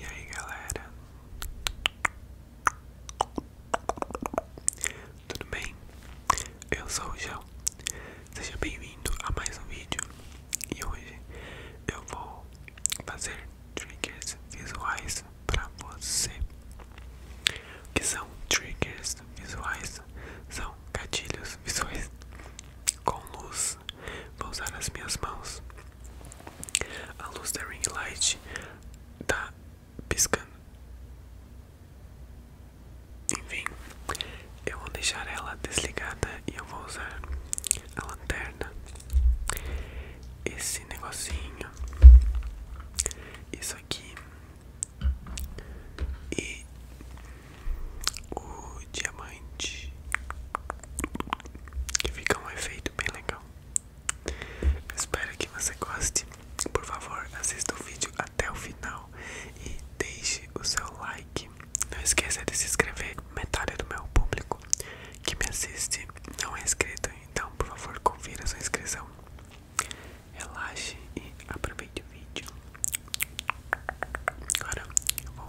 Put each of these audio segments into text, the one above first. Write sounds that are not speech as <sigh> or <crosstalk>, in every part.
E aí galera, tudo bem? Eu sou o João, seja bem-vindo a mais um vídeo e hoje eu vou fazer triggers visuais para você. O que são triggers visuais? São gatilhos visuais com luz Vou usar as minhas mãos. A luz da ring light tá piscando. Enfim, eu vou deixar ela desligada e eu vou usar a lanterna. Esse negocinho. Isso aqui. E o diamante. Que fica um efeito bem legal. Espero que você goste. Por favor, assista o vídeo até o final e deixe o seu like. Não esqueça de se inscrever. Metade do meu público que me assiste não é inscrito, então por favor confira sua inscrição. Relaxe e aproveite o vídeo. Agora eu vou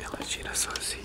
Ela tira sozinha.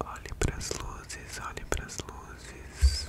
Olhe para as luzes, olhe para as luzes.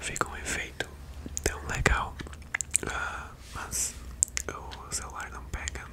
Fica um efeito tão legal, ah, mas o celular não pega. <laughs>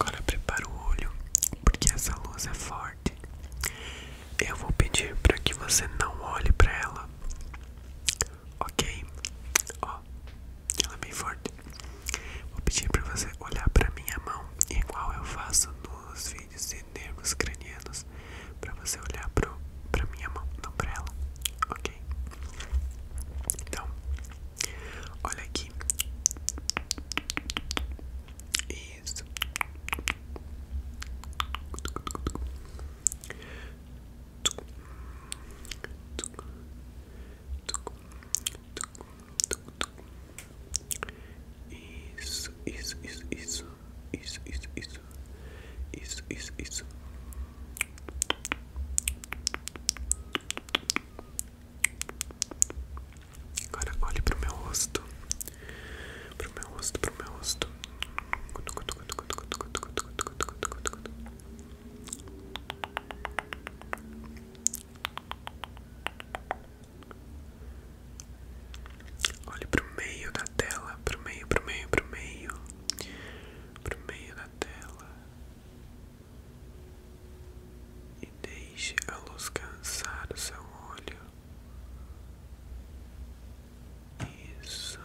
Agora prepara o olho, porque essa luz é forte. Eu vou pedir para que você não olhe para ela. Ok? Ó, ela é bem forte. Vou pedir para você olhar para minha mão, igual eu faço nos vídeos nervos cranianos para você olhar pro, pra minha mão, não pra ela, ok? Então, olha aqui. Isso. Isso, isso, isso, isso, isso, isso, isso, isso, isso, isso. Agora olhe pro meu rosto, pro meu rosto, pro meu rosto. Isso, Olhe para o meio da tela, para o meio, para o meio, pro meio, pro meio da tela e deixe a luz cansar o seu olho. Isso.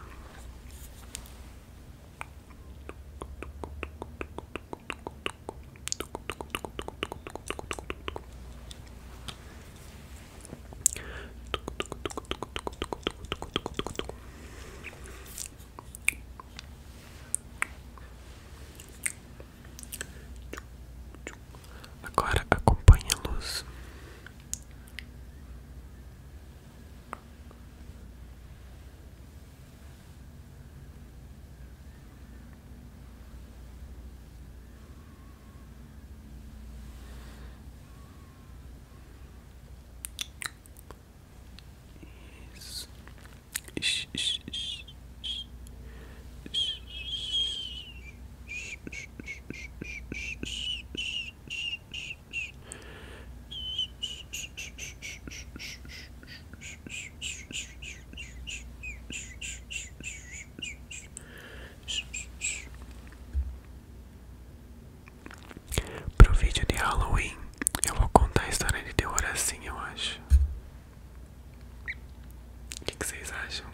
Agora acompanhe a luz. Agora Yes. Ish, ish, ish, ish. Ish, ish, ish, ish, ish, ish, ish. Pro vídeo de Halloween, eu vou contar a história de terror assim, eu acho. O que vocês acham?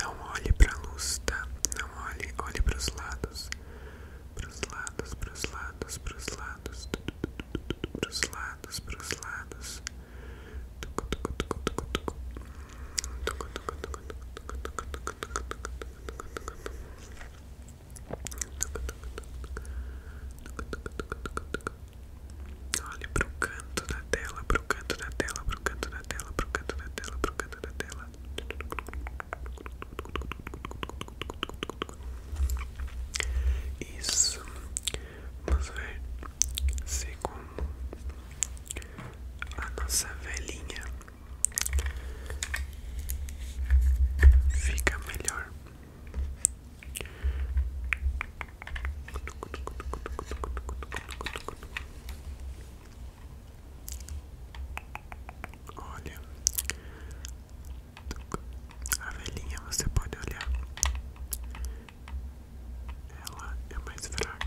Não olhe pra luz, tá? Não olhe, olhe pros lados. Pros lados, pros lados, pros lados. Pros lados, pros lados. Tuc tuc tuc tuc tuc tuc Olha o canto da tela, para o canto da tela, para o canto da tela, para o canto da tela, para o canto da tela. Isso. Vamos ver se como a nossa velhinha fica melhor. Olha, a velhinha você pode olhar, ela é mais fraca.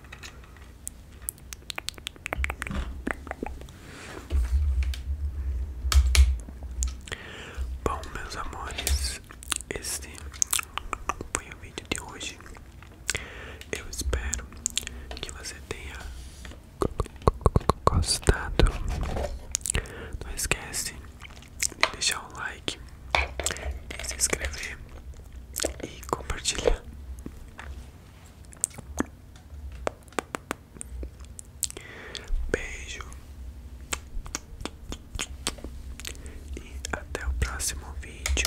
Bom, meus amores, este foi o vídeo de hoje. Eu espero que você tenha gostado. Não esquece de deixar o like se inscrever e compartilhar. Beijo e até o próximo vídeo.